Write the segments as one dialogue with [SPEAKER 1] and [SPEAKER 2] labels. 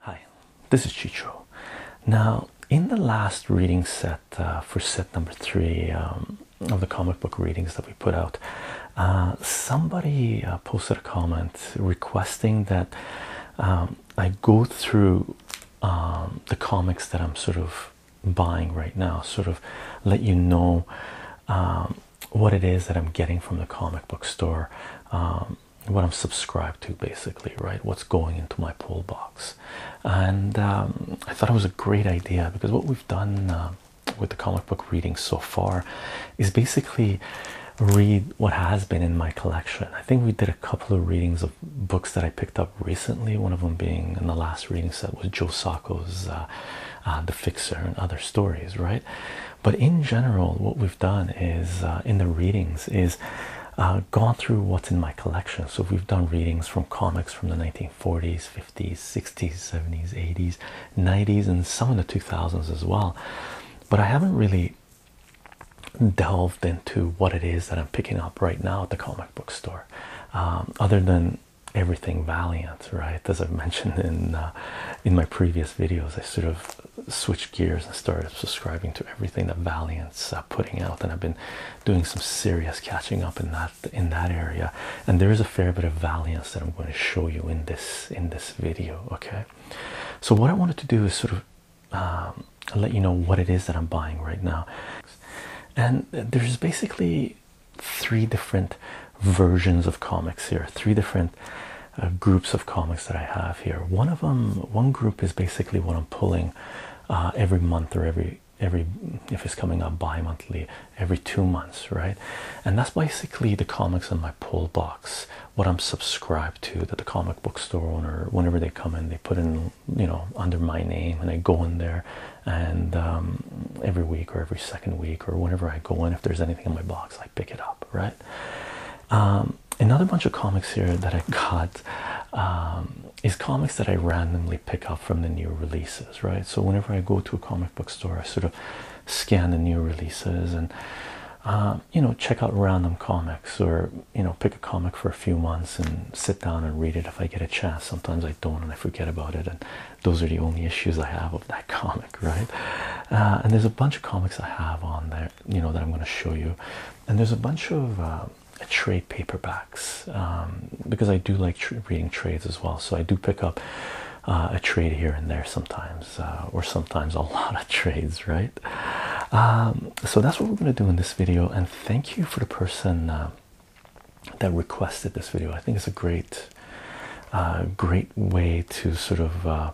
[SPEAKER 1] Hi, this is Chicho. Now, in the last reading set uh, for set number three um, of the comic book readings that we put out, uh, somebody uh, posted a comment requesting that um, I go through um, the comics that I'm sort of buying right now, sort of let you know um, what it is that I'm getting from the comic book store, um, what I'm subscribed to, basically, right? What's going into my pull box. And um, I thought it was a great idea because what we've done uh, with the comic book reading so far is basically read what has been in my collection. I think we did a couple of readings of books that I picked up recently. One of them being in the last reading set was Joe Sacco's uh, uh, The Fixer and other stories, right? But in general, what we've done is uh, in the readings is gone through what's in my collection. So we've done readings from comics from the 1940s, 50s, 60s, 70s, 80s, 90s, and some of the 2000s as well. But I haven't really delved into what it is that I'm picking up right now at the comic book store, um, other than everything Valiant, right? As i mentioned in uh, in my previous videos, I sort of switched gears and started subscribing to everything that Valiant's uh, putting out, and I've been doing some serious catching up in that in that area. And there is a fair bit of Valiant that I'm going to show you in this in this video. Okay, so what I wanted to do is sort of um, let you know what it is that I'm buying right now, and there's basically three different versions of comics here, three different uh, groups of comics that I have here. One of them, one group is basically what I'm pulling uh, every month or every every if it's coming up bi-monthly every two months right and that's basically the comics in my pull box what i'm subscribed to that the comic book store owner whenever they come in they put in you know under my name and i go in there and um, every week or every second week or whenever I go in, if there's anything in my box, I pick it up, right? Um, another bunch of comics here that I got um, is comics that I randomly pick up from the new releases, right? So whenever I go to a comic book store, I sort of scan the new releases and you know check out random comics or you know pick a comic for a few months and sit down and read it if I get a chance. Sometimes I don't and I forget about it and those are the only issues I have of that comic right uh, and there's a bunch of comics I have on there you know that I'm going to show you and there's a bunch of uh, trade paperbacks um, because I do like reading trades as well so I do pick up uh, a trade here and there sometimes or sometimes a lot of trades right um, so that's what we're going to do in this video and thank you for the person that requested this video. I think it's a great, uh, great way to sort of uh,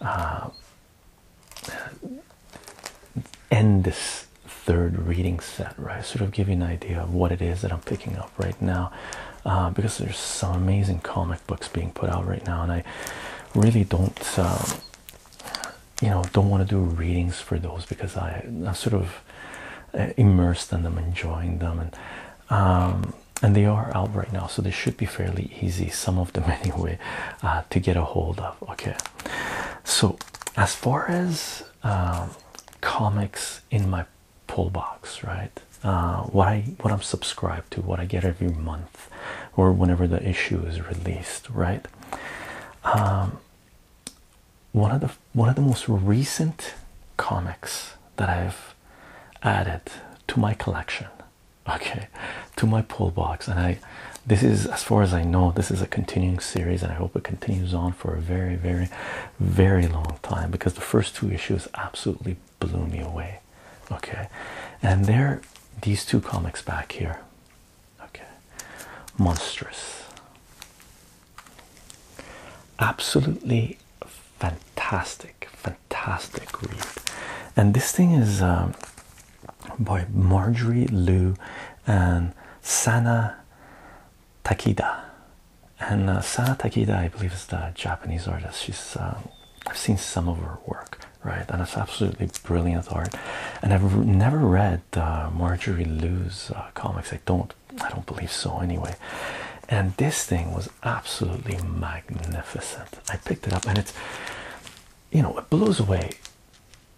[SPEAKER 1] uh, end this third reading set, right? Sort of give you an idea of what it is that I'm picking up right now, because there's some amazing comic books being put out right now, and I really don't. Um, you know don't want to do readings for those because I sort of uh, immersed in them, enjoying them, and um, and they are out right now, so they should be fairly easy. Some of them, anyway, uh, to get a hold of. Okay, so as far as um, comics in my pull box, right? Uh, what I what I'm subscribed to, what I get every month, or whenever the issue is released, right? Um, one of the one of the most recent comics that I've added to my collection okay to my pull box and I this is as far as I know this is a continuing series and I hope it continues on for a very very very long time because the first two issues absolutely blew me away okay and there these two comics back here okay monstrous Absolutely fantastic, fantastic read. And this thing is um, by Marjorie Liu and Sana Takida. And uh, Sana Takida, I believe, is the Japanese artist. She's um, I've seen some of her work, right? And it's absolutely brilliant art. And I've never read uh, Marjorie Liu's uh, comics. I don't, I don't believe so anyway. And this thing was absolutely magnificent. I picked it up, and it's, you know, it blows away.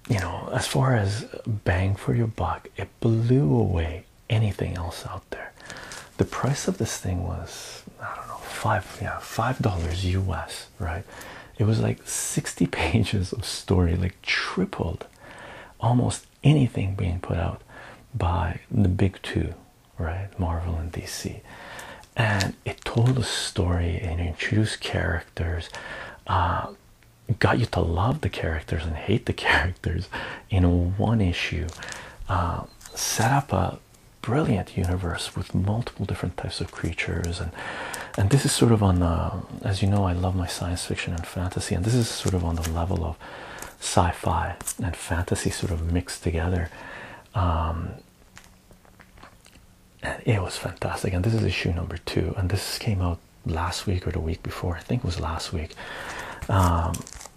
[SPEAKER 1] You know, as far as bang for your buck, it blew away anything else out there. The price of this thing was, I don't know, five, yeah, five dollars US, right? It was like 60 pages of story, like tripled, almost anything being put out by the big two, right? Marvel and DC. And it told a story and introduced characters, uh, got you to love the characters and hate the characters in one issue. Uh, set up a brilliant universe with multiple different types of creatures and and this is sort of on uh, as you know I love my science fiction and fantasy, and this is sort of on the level of sci-fi and fantasy sort of mixed together. Um, and it was fantastic, and this is issue number two, and this came out last week or the week before, I think it was last week. Um,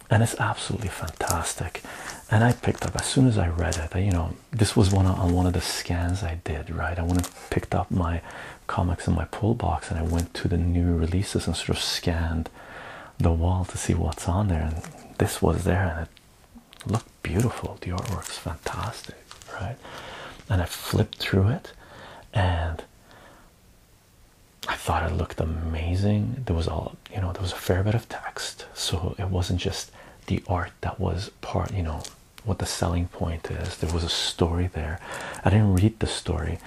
[SPEAKER 1] and it's absolutely fantastic. And I picked up as soon as I read it, I, you know, this was one on one of the scans I did, right? I went and picked up my comics in my pull box and I went to the new releases and sort of scanned the wall to see what's on there and this was there and it looked beautiful the artwork's fantastic right and I flipped through it and I thought it looked amazing there was all you know there was a fair bit of text so it wasn't just the art that was part you know what the selling point is there was a story there I didn't read the story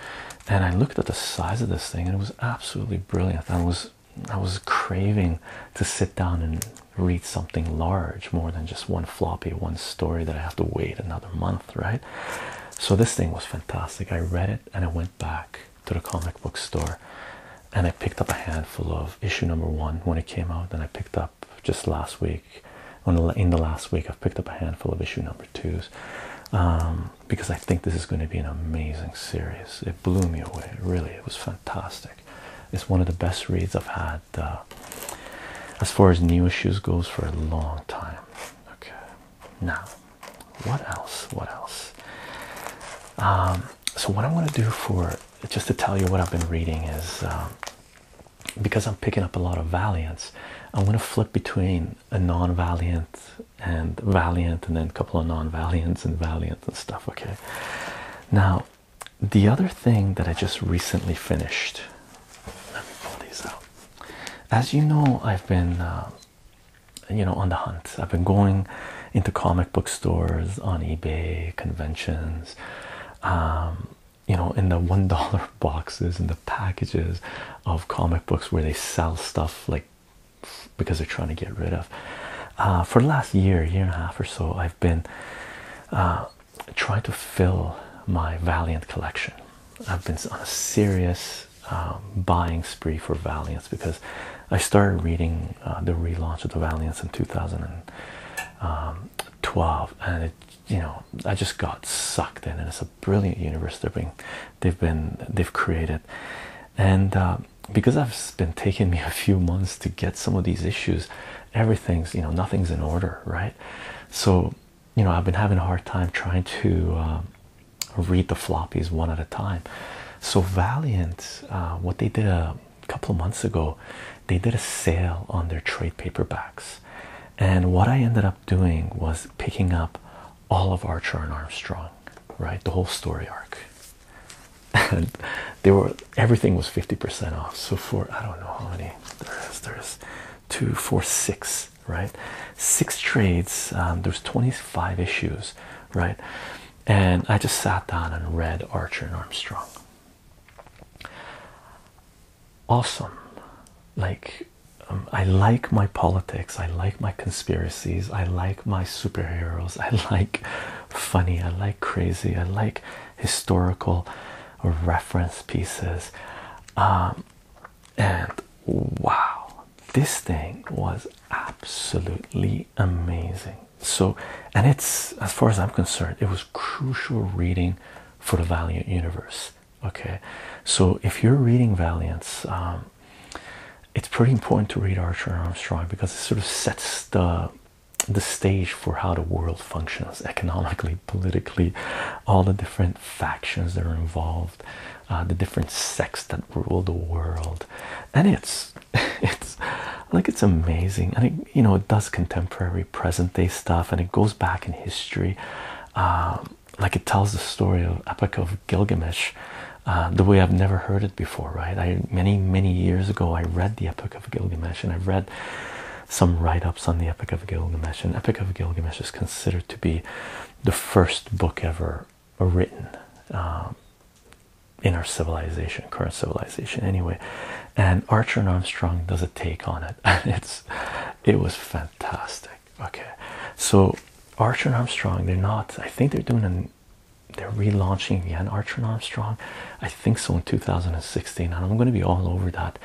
[SPEAKER 1] and I looked at the size of this thing, and it was absolutely brilliant. I was I was craving to sit down and read something large, more than just one floppy, one story that I have to wait another month, right? So this thing was fantastic. I read it, and I went back to the comic book store, and I picked up a handful of issue number one when it came out, and I picked up just last week in the last week i've picked up a handful of issue number twos um, because i think this is going to be an amazing series it blew me away really it was fantastic it's one of the best reads i've had uh, as far as new issues goes for a long time okay now what else what else um, so what i'm going to do for just to tell you what i've been reading is um, because i'm picking up a lot of valiants i'm going to flip between a non-valiant and valiant and then a couple of non-valiants and valiants and stuff okay now the other thing that i just recently finished let me pull these out as you know i've been um, you know on the hunt i've been going into comic book stores on ebay conventions um, you know in the one dollar boxes and the packages of comic books where they sell stuff like because they're trying to get rid of. Uh, for the last year, year and a half or so, I've been uh, trying to fill my Valiant collection. I've been on a serious um, buying spree for Valiants because I started reading uh, the relaunch of the Valiants in 2012 um, and it you know i just got sucked in and it's a brilliant universe they've been they've been they've created and uh, because i've been taking me a few months to get some of these issues everything's you know nothing's in order right so you know i've been having a hard time trying to uh, read the floppies one at a time so valiant uh, what they did a couple of months ago they did a sale on their trade paperbacks and what i ended up doing was picking up all of Archer and Armstrong, right? The whole story arc. And were everything was 50% off. So for I don't know how many there is, there's two, four, six, right? Six trades. Um, there's 25 issues, right? And I just sat down and read Archer and Armstrong awesome. Like, um, I like my politics, I like my conspiracies, I like my superheroes, I like funny, I like crazy, I like historical reference pieces. Um, and wow, this thing was absolutely amazing. So, and it's as far as I'm concerned, it was crucial reading for the Valiant universe okay so if you're reading valiance um, it's pretty important to read archer armstrong because it sort of sets the the stage for how the world functions economically politically all the different factions that are involved uh, the different sects that rule the world and it's it's like it's amazing and it you know it does contemporary present day stuff and it goes back in history um, like it tells the story of Epic of Gilgamesh, uh, the way I've never heard it before, right? I many many years ago I read the Epic of Gilgamesh, and I've read some write-ups on the Epic of Gilgamesh. And Epic of Gilgamesh is considered to be the first book ever written um, in our civilization, current civilization, anyway. And Archer and Armstrong does a take on it, and it's it was fantastic okay so archer and armstrong they're not i think they're doing an they're relaunching again archer and armstrong i think so in 2016 and i'm going to be all over that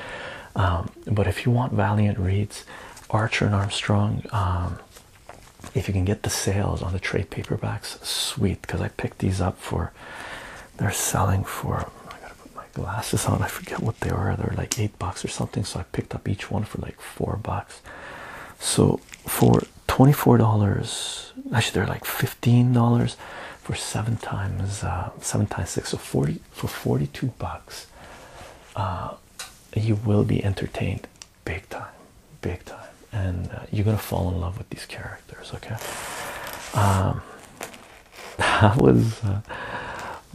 [SPEAKER 1] um, but if you want valiant reads archer and armstrong um, if you can get the sales on the trade paperbacks sweet because i picked these up for they're selling for glasses on. I forget what they are. They're like eight bucks or something. So I picked up each one for like four bucks. So for twenty-four dollars, actually they're like fifteen dollars for seven times uh, seven times six. So forty for forty-two bucks, uh, you will be entertained big time, big time, and uh, you're gonna fall in love with these characters. Okay. Um, was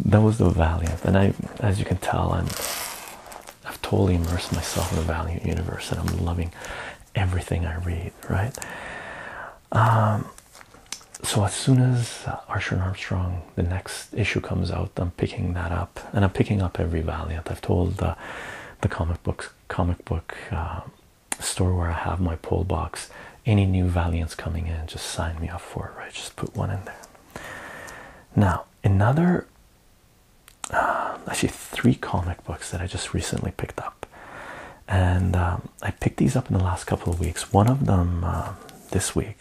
[SPEAKER 1] that was the Valiant, and I, as you can tell, I'm I've totally immersed myself in the Valiant universe, and I'm loving everything I read. Right. Um, so as soon as Archer and Armstrong, the next issue comes out, I'm picking that up, and I'm picking up every Valiant. I've told uh, the comic books comic book uh, store where I have my pull box. Any new Valiants coming in, just sign me up for it. Right, just put one in there. Now, another uh, actually three comic books that I just recently picked up, and um, I picked these up in the last couple of weeks. One of them uh, this week,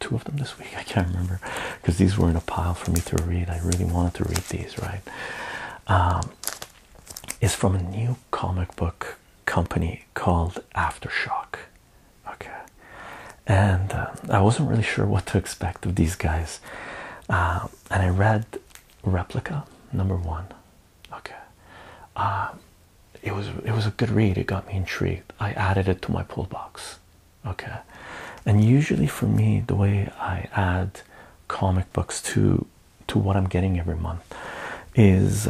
[SPEAKER 1] two of them this week. I can't remember because these were in a pile for me to read. I really wanted to read these, right? Um, is from a new comic book company called Aftershock okay and uh, i wasn't really sure what to expect of these guys uh, and i read replica number one okay uh, it was it was a good read it got me intrigued i added it to my pull box okay and usually for me the way i add comic books to to what i'm getting every month is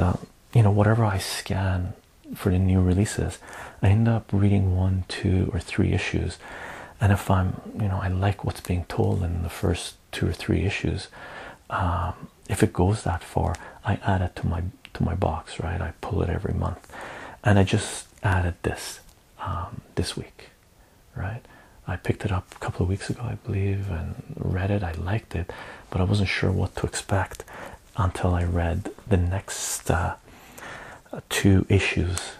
[SPEAKER 1] you know whatever i scan for the new releases i end up reading one two or three issues and if i'm you know i like what's being told in the first two or three issues um, if it goes that far i add it to my to my box right i pull it every month and i just added this um, this week right i picked it up a couple of weeks ago i believe and read it i liked it but i wasn't sure what to expect until I read the next uh, two issues,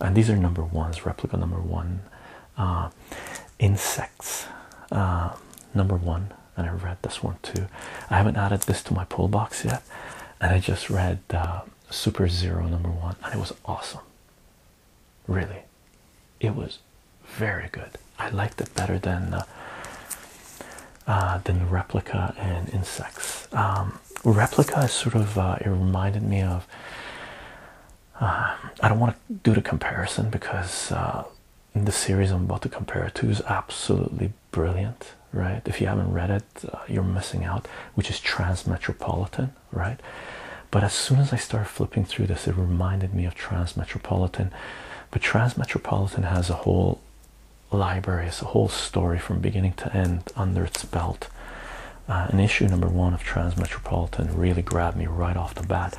[SPEAKER 1] and these are number ones, replica number one, uh, insects uh, number one, and I read this one too. I haven't added this to my pull box yet, and I just read Super Zero number one, and it was awesome. Really, it was very good. I liked it better than. Uh, than replica and insects. Um, replica is sort of uh, it reminded me of. Uh, I don't want to do the comparison because in the series I'm about to compare it to is absolutely brilliant, right? If you haven't read it, you're missing out, which is Trans Metropolitan, right? But as soon as I started flipping through this, it reminded me of Trans Metropolitan, But Trans Metropolitan has a whole library is a whole story from beginning to end under its belt. Uh, an issue number one of Transmetropolitan really grabbed me right off the bat.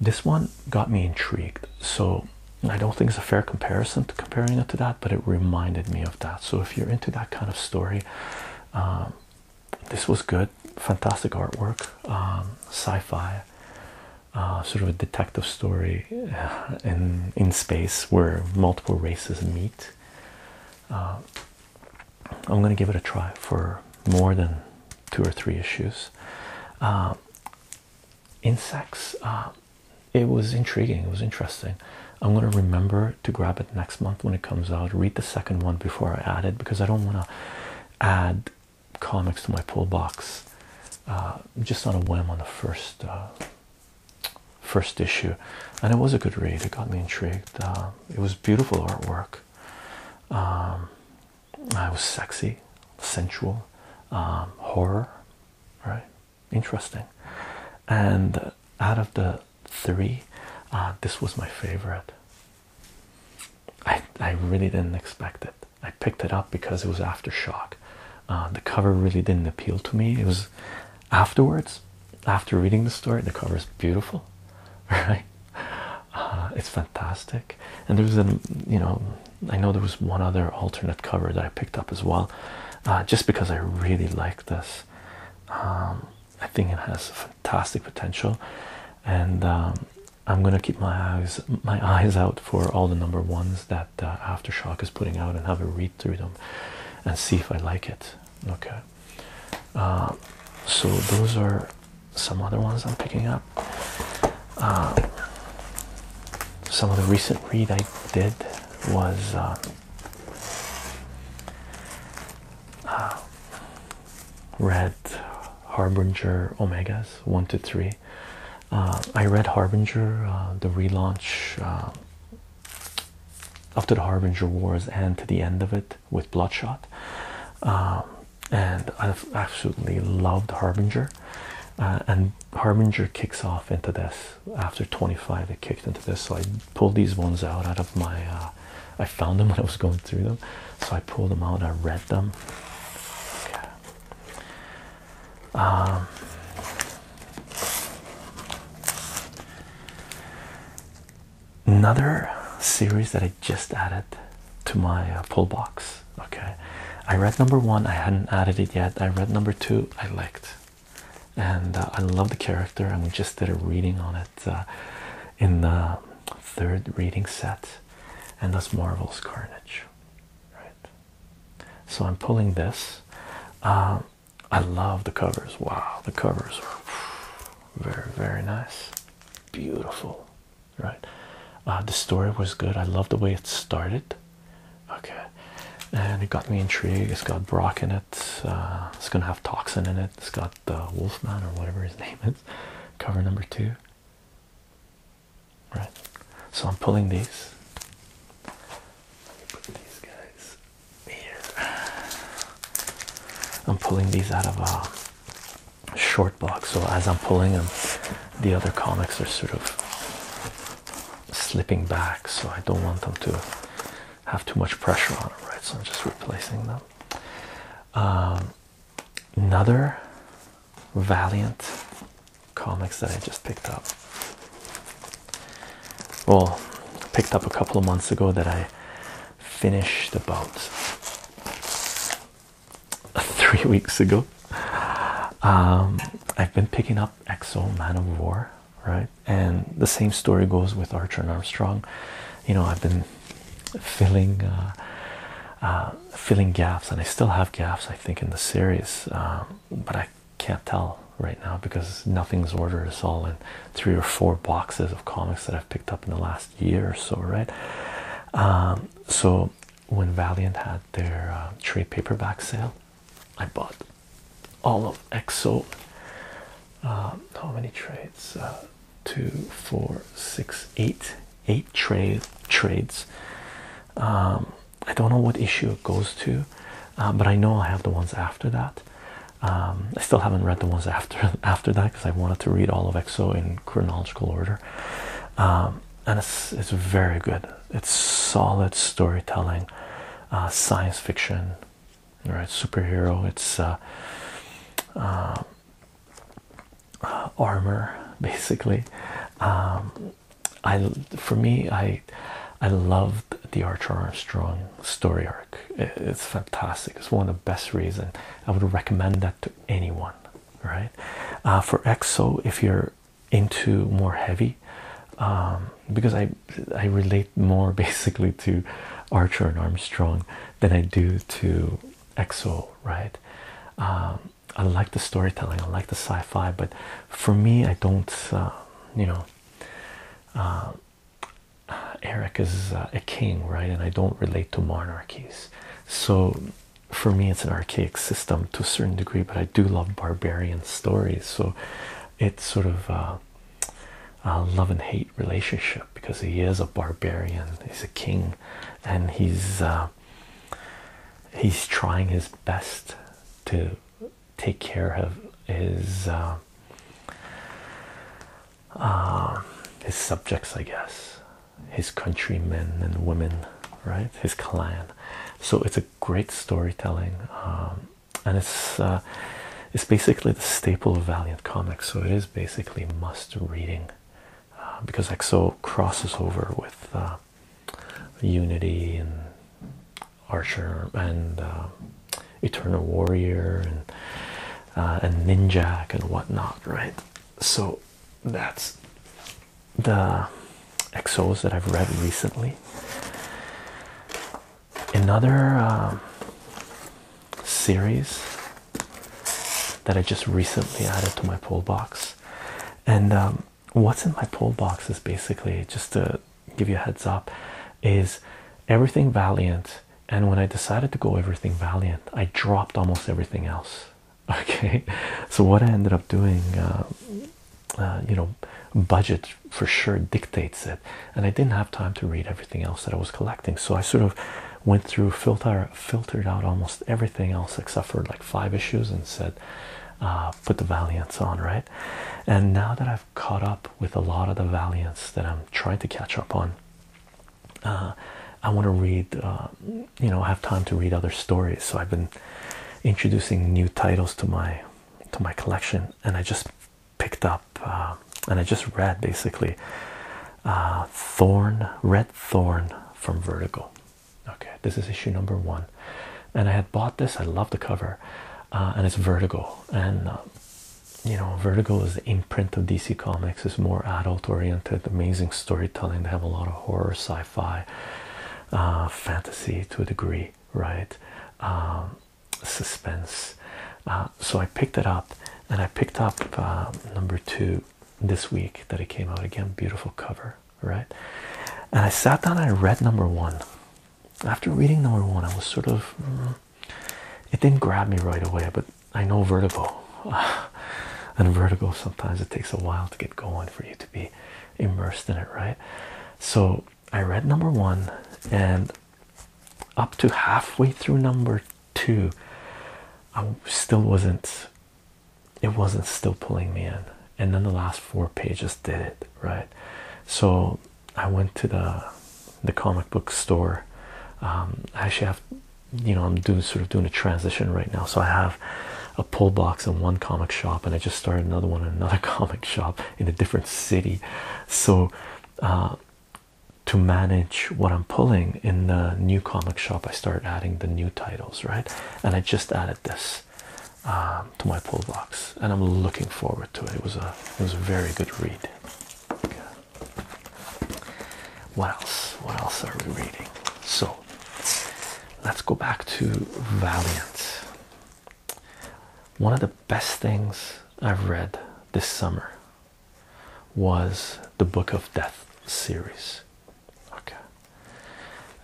[SPEAKER 1] This one got me intrigued, so I don't think it's a fair comparison to comparing it to that, but it reminded me of that. So if you're into that kind of story, um, this was good, fantastic artwork, um, sci-fi uh, sort of a detective story uh, in in space where multiple races meet. Uh, I'm gonna give it a try for more than two or three issues. insects. it was intriguing. It was interesting. I'm gonna remember to grab it next month when it comes out. Read the second one before I add it because I don't want to add comics to my pull box uh, just on a whim on the first first issue, and it was a good read. It got me intrigued. Uh, it was beautiful artwork. Um, I was sexy, sensual, um, horror, right? Interesting. And out of the three, uh, this was my favorite. I I really didn't expect it. I picked it up because it was aftershock. Um, the cover really didn't appeal to me. It was afterwards, after reading the story, the cover is beautiful, right? Uh, it's fantastic. And there was a, you know, I know there was one other alternate cover that I picked up as well, uh, just because I really like this. Um, I think it has fantastic potential, and um, I'm gonna keep my eyes my eyes out for all the number ones that that uh, Aftershock is putting out and have a read through them and see if I like it. Okay, uh, so those are some other ones I'm picking up. Uh, some of the recent read I did was. read Harbinger Omegas 1 to 3. Uh, I read Harbinger, uh, the relaunch uh, after the Harbinger Wars and to the end of it with Bloodshot, um, and I've absolutely loved Harbinger. and Harbinger kicks off into this after 25, it kicked into this. So I pulled these ones out out of my. I found them when I was going through them, so I pulled them out. I read them. Um, another series that I just added to my uh, pull box. Okay, I read number one, I hadn't added it yet. I read number two, I liked, and uh, I love the character. And we just did a reading on it uh, in the third reading set, and that's Marvel's Carnage, right? So I'm pulling this. Um, I love the covers. Wow, the covers are very, very nice. Beautiful, right? Uh, the story was good. I love the way it started. Okay, and it got me intrigued. It's got Brock in it. Uh, it's gonna have Toxin in it. It's got the uh, Wolfman or whatever his name is. Cover number two right? So I'm pulling these. Let me put these guys here. I'm pulling these out of a short box. So as I'm pulling them, the other comics are sort of slipping back. So I don't want them to have too much pressure on it, right? So I'm just replacing them. Um, another Valiant comics that I just picked up. Well, picked up a couple of months ago that I finished about three weeks ago. Um, I've been picking up Exo Man of War, right? And the same story goes with Archer and Armstrong. You know, I've been filling uh, uh, filling gaps, and I still have gaps. I think in the series, um, but I can't tell right now because nothing's ordered. at all in three or four boxes of comics that I've picked up in the last year or so, right? Um, so when Valiant had their uh, trade paperback sale, I bought all of EXO. Um, how many trades? Uh, two, four, six, eight, eight trade trades. Um, I don't know what issue it goes to, uh, but I know I have the ones after that. Um, I still haven't read the ones after after that because I wanted to read all of EXO in chronological order, um, and it's it's very good. It's solid storytelling, uh, science fiction, right? Superhero. It's uh, um, armor basically. I for me I I loved the Archer Armstrong story arc. It's fantastic. It's one of the best reasons. I would recommend that to anyone. Right? Uh, for EXO, if you're into more heavy, um, because I I relate more basically to Archer and Armstrong than I do to EXO. Right? Um, I like the storytelling, I like the sci-fi, but for me, I don't. Uh, you know, uh, Eric is uh, a king, right? And I don't relate to monarchies, so for me, it's an archaic system to a certain degree. But I do love barbarian stories, so it's sort of. a love and hate relationship because he is a barbarian he's a king and he's he's trying his best to take care of his uh, uh, his subjects, I guess, his countrymen and women, right? His clan. So it's a great storytelling, um, and it's uh, it's basically the staple of Valiant Comics. So it is basically must reading because EXO crosses over with. Unity and Archer and uh, Eternal Warrior and uh, and Ninjak and whatnot, right? So that's the XOs that I've read recently. Another um, series that I just recently added to my pull box, and um, what's in my pull boxes, basically just to give you a heads up is everything valiant and when i decided to go everything valiant i dropped almost everything else okay so what i ended up doing uh, uh, you know budget for sure dictates it and i didn't have time to read everything else that i was collecting so i sort of went through filter filtered out almost everything else except for like five issues and said uh, put the Valiants on, right? And now that I've caught up with a lot of the Valiants that I'm trying to catch up on, uh, I want to read, uh, you know, have time to read other stories. So I've been introducing new titles to my to my collection, and I just picked up and I just read basically Thorn, Red Thorn from Vertigo. Okay, this is issue number one, and I had bought this. I love the cover, uh, and it's Vertigo, and uh, you know, Vertigo is the imprint of DC Comics. It's more adult-oriented, amazing storytelling. They have a lot of horror, sci-fi, uh, fantasy to a degree, right? Um, suspense. so I picked it up, and I picked up number two this week that it came out again. Beautiful cover right? And I sat down and I read number one. After reading number one, I was sort of, mm, it didn't grab me right away, but I know vertigo. and vertigo sometimes it takes a while to get going for you to be immersed in it, right? So I read number one and up to halfway through number two, I still wasn't it wasn't still pulling me in and then the last four pages did it right so i went to the the comic book store um, i actually have you know i'm doing sort of doing a transition right now so i have a pull box in one comic shop and i just started another one in another comic shop in a different city so uh, to manage what i'm pulling in the new comic shop i start adding the new titles right and i just added this um, to my pull box, and I'm looking forward to it. It was a it was a very good read. What else? What else are we reading? So let's go back to Valiant. One of the best things I've read this summer was the Book of Death series. Okay,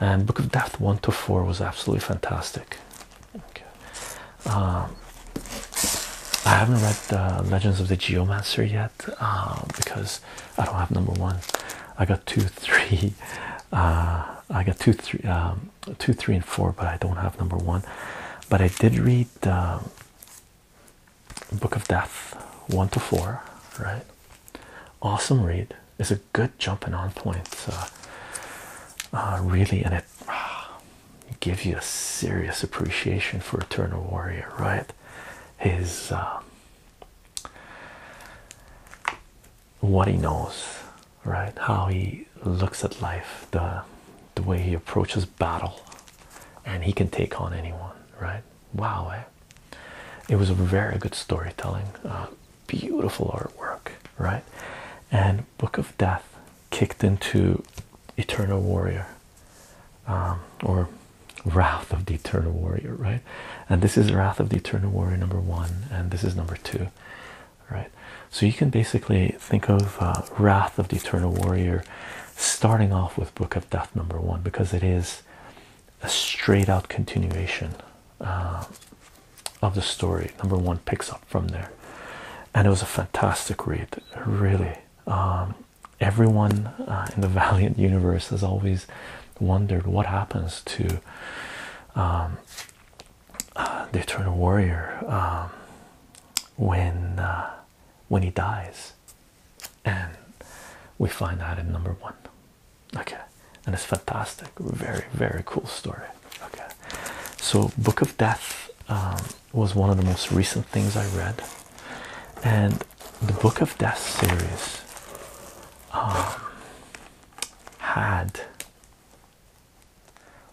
[SPEAKER 1] and Book of Death one to four was absolutely fantastic. Okay. Um, I haven't read the uh, Legends of the Geomancer yet uh, because I don't have number one. I got two, three. Uh, I got two, three, um, two, three, and four, but I don't have number one. But I did read um, Book of Death one to four, right? Awesome read. It's a good jumping on point. Uh, really, and it ah, gives you a serious appreciation for Eternal Warrior, right? His um, what he knows, right? How he looks at life, the the way he approaches battle, and he can take on anyone, right? Wow, eh? it was a very good storytelling. Uh, beautiful artwork, right? And Book of Death kicked into Eternal Warrior um, or Wrath of the Eternal Warrior, right? And this is Wrath of the Eternal Warrior number one, and this is number two, right? So you can basically think of uh, Wrath of the Eternal Warrior starting off with Book of Death number one because it is a straight out continuation uh, of the story. Number one picks up from there, and it was a fantastic read, really. Um, everyone uh, in the Valiant universe has always wondered what happens to um, uh, the Eternal Warrior um, when uh, when he dies, and we find out in number one okay and it's fantastic very very cool story okay so book of death um, was one of the most recent things i read and the book of death series um, had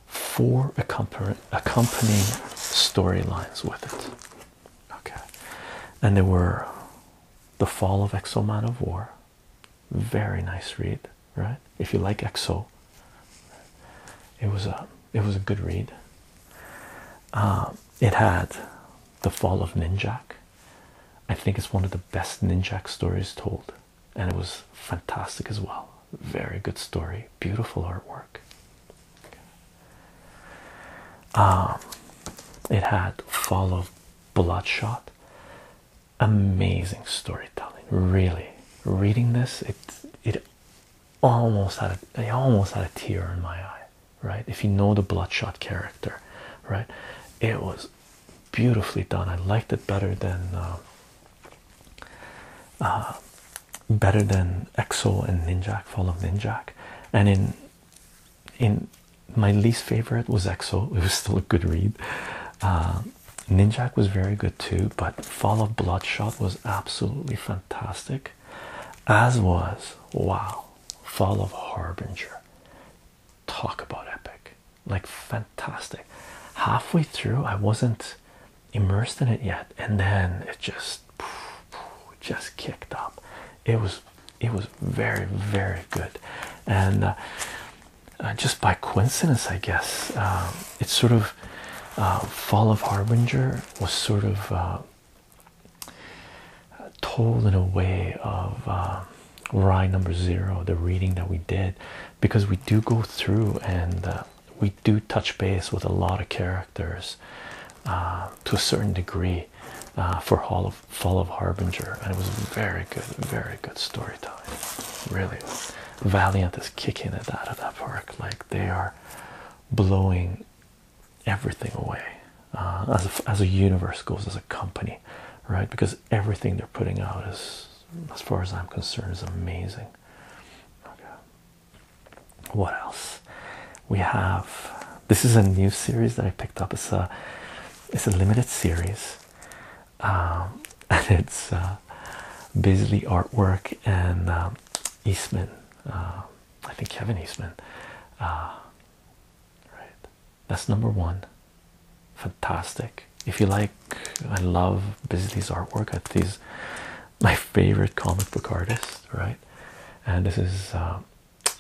[SPEAKER 1] four accompanying storylines with it okay and they were the fall of Exo Man of war very nice read right if you like exo it was a it was a good read uh, it had the fall of ninjak i think it's one of the best ninjak stories told and it was fantastic as well very good story beautiful artwork um, it had fall of bloodshot amazing storytelling really reading this it it almost had a, almost had a tear in my eye right if you know the bloodshot character right it was beautifully done i liked it better than uh, uh, better than exo and ninjak fall of ninjak and in in my least favorite was Exo. It was still a good read. Uh, Ninjak was very good too, but Fall of Bloodshot was absolutely fantastic. As was wow, Fall of Harbinger. Talk about epic, like fantastic. Halfway through, I wasn't immersed in it yet, and then it just just kicked up. It was it was very very good, and. Uh, uh, just by coincidence, I guess. Um, it's sort of uh, Fall of Harbinger was sort of uh, told in a way of Rye number zero, the reading that we did, because we do go through and we do touch base with a lot of characters to a certain degree for Hall of Fall of Harbinger, and it was very good, very good storytelling. Really, Valiant is kicking it out of that park. Like they are blowing everything away uh, as a, as a universe goes, as a company, right? Because everything they're putting out is, as far as I'm concerned, is amazing. Okay. What else? We have. This is a new series that I picked up. It's a it's a limited series. Um, and it's uh, artwork and um, Eastman. Uh, I think Kevin Eastman. Uh, right, that's number one. Fantastic. If you like, I love Bisley's artwork. I think my favorite comic book artist, right? And this is uh,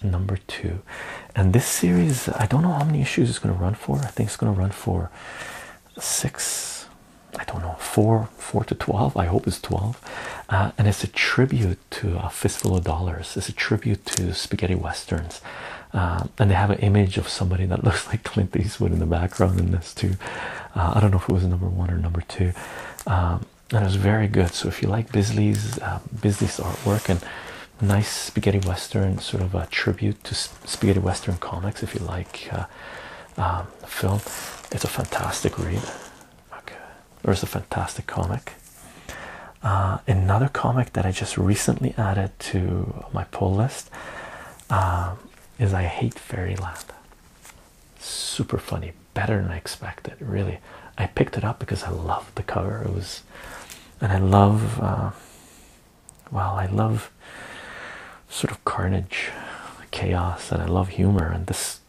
[SPEAKER 1] number two and this series i don't know how many issues it's going to run for i think it's going to run for six i don't know four four to 12 i hope it's 12 uh, and it's a tribute to a fistful of dollars it's a tribute to spaghetti westerns uh, and they have an image of somebody that looks like clint eastwood in the background in this too uh, i don't know if it was number one or number two um, and it was very good so if you like bisley's uh, artwork and nice spaghetti western sort of a tribute to spaghetti western comics if you like uh, um, film it's a fantastic read okay or it's a fantastic comic uh, another comic that i just recently added to my pull list um, is i hate fairyland super funny better than i expected really i picked it up because i loved the cover it was and i love uh, well, I love sort of carnage, chaos, and I love humor, and this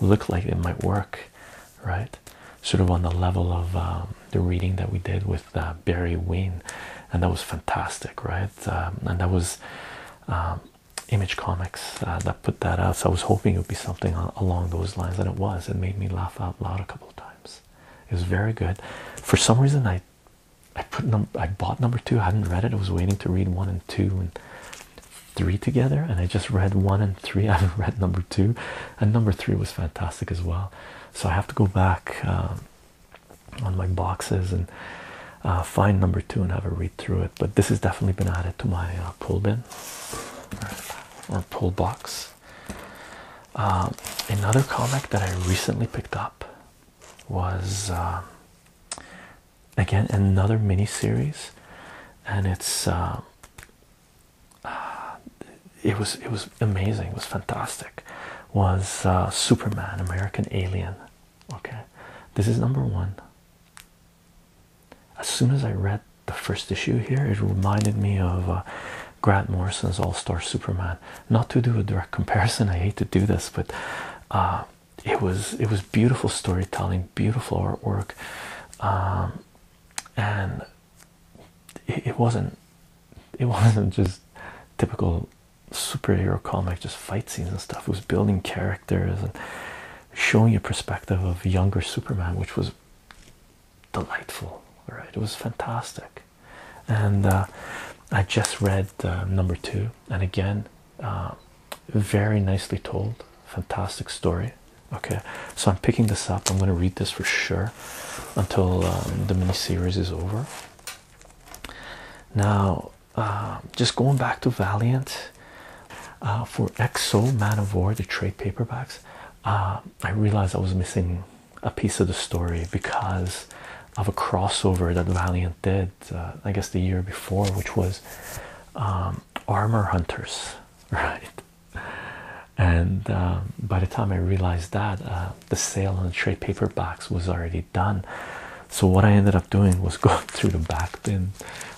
[SPEAKER 1] looked like it might work, right? Sort of on the level of um, the reading that we did with uh, Barry Wayne, and that was fantastic, right? Um, and that was um, Image Comics uh, that put that out. So I was hoping it would be something along those lines, and it was. It made me laugh out loud a couple of times. It was very good. For some reason, I I bought number two. I hadn't read it. I was waiting to read one and two and three together, and I just read one and three. I haven't read number two, and number three was fantastic as well. So I have to go back um, on my boxes and uh, find number two and have a read through it. But this has definitely been added to my uh, pull bin or pull box. Um, another comic that I recently picked up was um, again another mini series, and it's um, uh, it was it was amazing. It was fantastic. Was uh, Superman American Alien? Okay, this is number one. As soon as I read the first issue here, it reminded me of uh, Grant Morrison's All Star Superman. Not to do a direct comparison, I hate to do this, but uh, it was it was beautiful storytelling, beautiful artwork, um, and it, wasn't it wasn't just typical superhero comic, just fight scenes and stuff. It was building characters and showing a perspective of younger Superman, which was delightful. All right, it was fantastic and uh, I just read uh, number two, and again, uh, very nicely told, fantastic story. Okay, so I'm picking this up. I'm going to read this for sure until um, the mini series is over. Now, just going back to Valiant for Exo Man of War, the trade paperbacks. I realized I was missing a piece of the story because of a crossover that Valiant did, uh, I guess, the year before, which was um, Armor Hunters, right? And um, by the time I realized that, uh, the sale on the trade paper box was already done. So what I ended up doing was going through the back bin,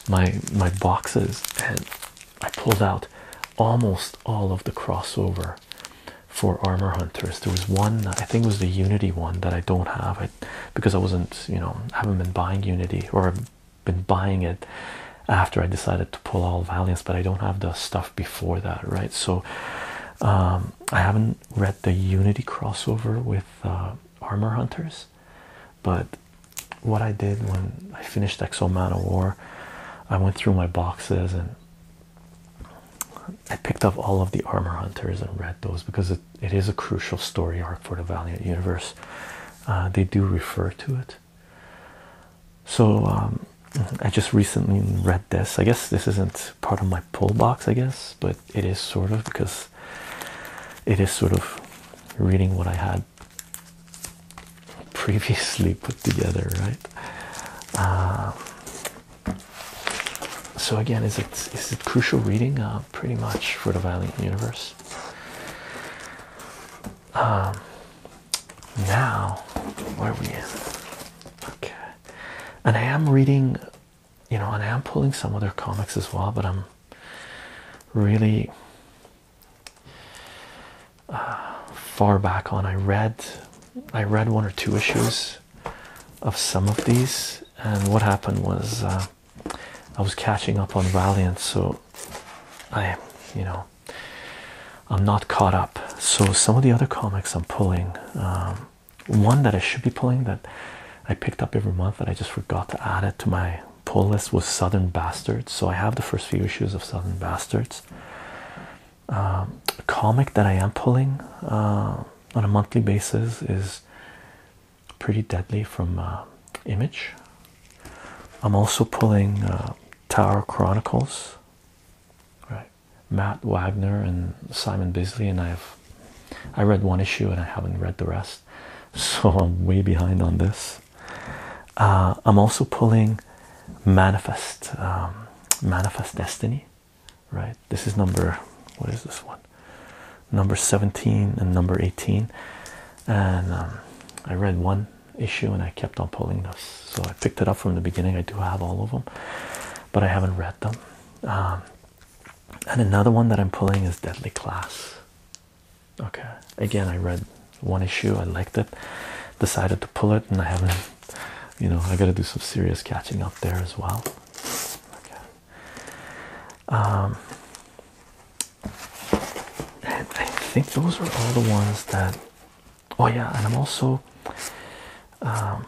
[SPEAKER 1] my my boxes, and I pulled out almost all of the crossover for armor hunters. There was one, I think it was the Unity one that I don't have it because I wasn't, you know, haven't been buying Unity or been buying it after I decided to pull all Valiance, but I don't have the stuff before that, right? So um, I haven't read the Unity crossover with uh, Armor Hunters, but what I did when I finished Exo Man of War, I went through my boxes and I picked up all of the Armor Hunters and read those because it is a crucial story arc for the Valiant universe. Uh, they do refer to it. So um, I just recently read this. I guess this isn't part of my pull box, I guess, but it is sort of because it is sort of reading what I had previously put together, right? Uh, so again, is it is it crucial reading? Uh, pretty much for the violent universe. Um, now, where are we in? Okay, and I am reading, you know, and I am pulling some other comics as well, but I'm really uh, far back on i read i read one or two issues of some of these and what happened was uh, i was catching up on valiant so i you know i'm not caught up so some of the other comics i'm pulling um, one that i should be pulling that i picked up every month that i just forgot to add it to my pull list was southern bastards so i have the first few issues of southern bastards um, comic that I am pulling uh, on a monthly basis is pretty deadly from uh, Image. I'm also pulling uh, Tower Chronicles, right? Matt Wagner and Simon Bisley, and I've I read one issue and I haven't read the rest, so I'm way behind on this. I'm also pulling Manifest. Um, Manifest Destiny, right? This is number what is this one? Number 17 and number 18. And um, I read one issue and I kept on pulling those, so I picked it up from the beginning. I do have all of them, but I haven't read them. Um, and another one that I'm pulling is Deadly Class. Okay, again, I read one issue, I liked it, decided to pull it, and I haven't you know, I got to do some serious catching up there as well. Okay. Um, and I think those are all the ones that. Oh yeah, and I'm also um,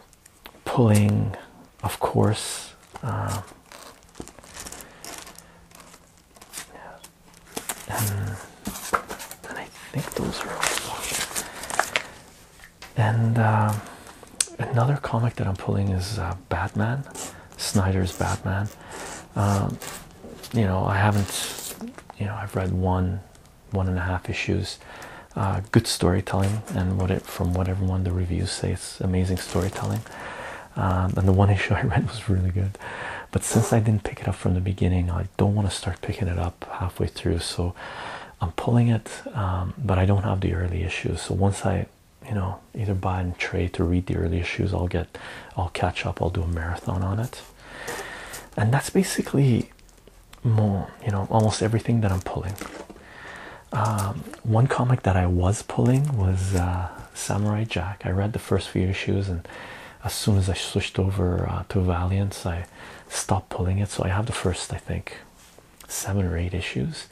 [SPEAKER 1] pulling, of course. Uh, and, and I think those are all and um, another comic that I'm pulling is uh, Batman, Snyder's Batman. Um, you know, I haven't, you know, I've read one, one and a half issues. Uh, good storytelling, and what it from what everyone the reviews say, it's amazing storytelling. Um, and the one issue I read was really good, but since I didn't pick it up from the beginning, I don't want to start picking it up halfway through. So I'm pulling it, um, but I don't have the early issues. So once I, you know, either buy and trade to read the early issues, I'll get, I'll catch up. I'll do a marathon on it, and that's basically more, you know, almost everything that I'm pulling. Um, one comic that I was pulling was uh, Samurai Jack. I read the first few issues, and as soon as I switched over uh, to Valiant, I Stop pulling it. So I have the first, I think, seven or eight issues.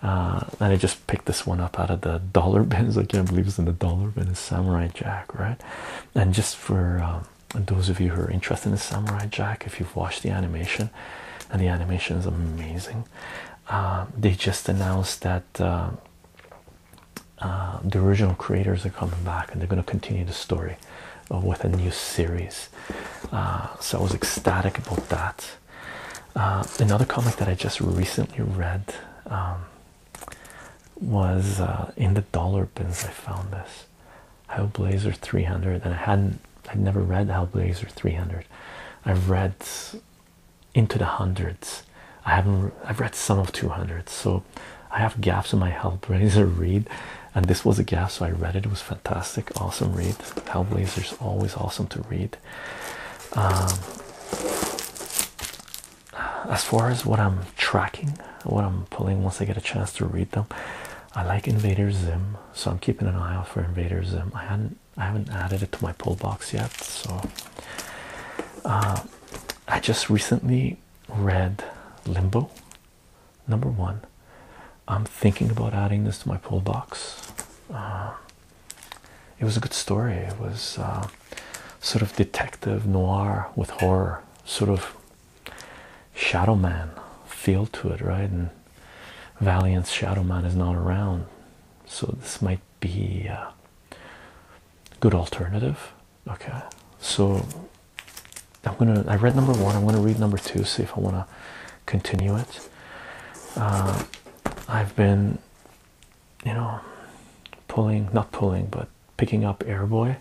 [SPEAKER 1] and uh, I just picked this one up out of the dollar bins. I can't believe it's in the dollar bin. It's Samurai Jack, right? And just for um, those of you who are interested in Samurai Jack, if you've watched the animation, and the animation is amazing. Um, they just announced that uh, uh, the original creators are coming back and they're going to continue the story uh, with a new series. Uh, so I was ecstatic about that. Uh, another comic that I just recently read um, was in the dollar bins. I found this Hellblazer 300, and I hadn't, I'd never read Hellblazer 300. I've read into the hundreds. I haven't. I've read some of 200, so I have gaps in my Hellblazer read, and this was a gap, so I read it. It was fantastic, awesome read. Hellblazer is always awesome to read. Um, as far as what I'm tracking, what I'm pulling once I get a chance to read them, I like Invader Zim, so I'm keeping an eye out for Invader Zim. I hadn't, I haven't added it to my pull box yet, so. Uh, I just recently read Limbo Number one, I'm thinking about adding this to my pull box. Uh, it was a good story. It was uh, sort of detective noir with horror, sort of Shadow Man feel to it, right? And Valiant's Shadow Man is not around, so this might be a good alternative okay so i'm gonna i read number one i'm gonna read number two see if i want to continue it uh, i've been you know pulling not pulling but picking up airboy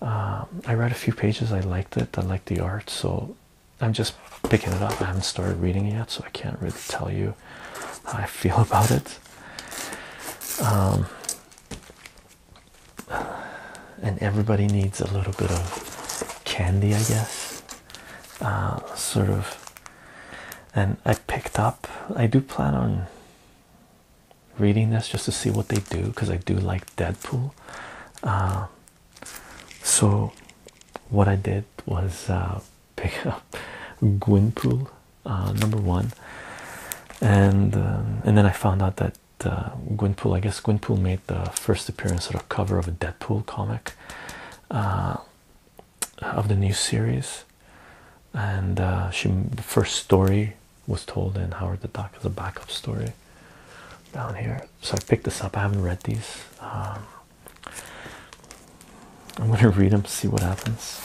[SPEAKER 1] uh, i read a few pages i liked it i liked the art so i'm just picking it up i haven't started reading it yet so i can't really tell you how i feel about it um, and everybody needs a little bit of candy, I guess. Uh, sort of. And I picked up, I do plan on reading this just to see what they do because I do like Deadpool. Uh, so, what I did was uh, pick up Gwynpool number one, and um, and then I found out that that uh, Gwynpool, I guess Gwynpool made the first appearance at a cover of a Deadpool comic uh, of the new series, and uh, she the first story was told in Howard the Duck as a backup story down here. So I picked this up. I haven't read these. Um, I'm gonna read them, see what happens.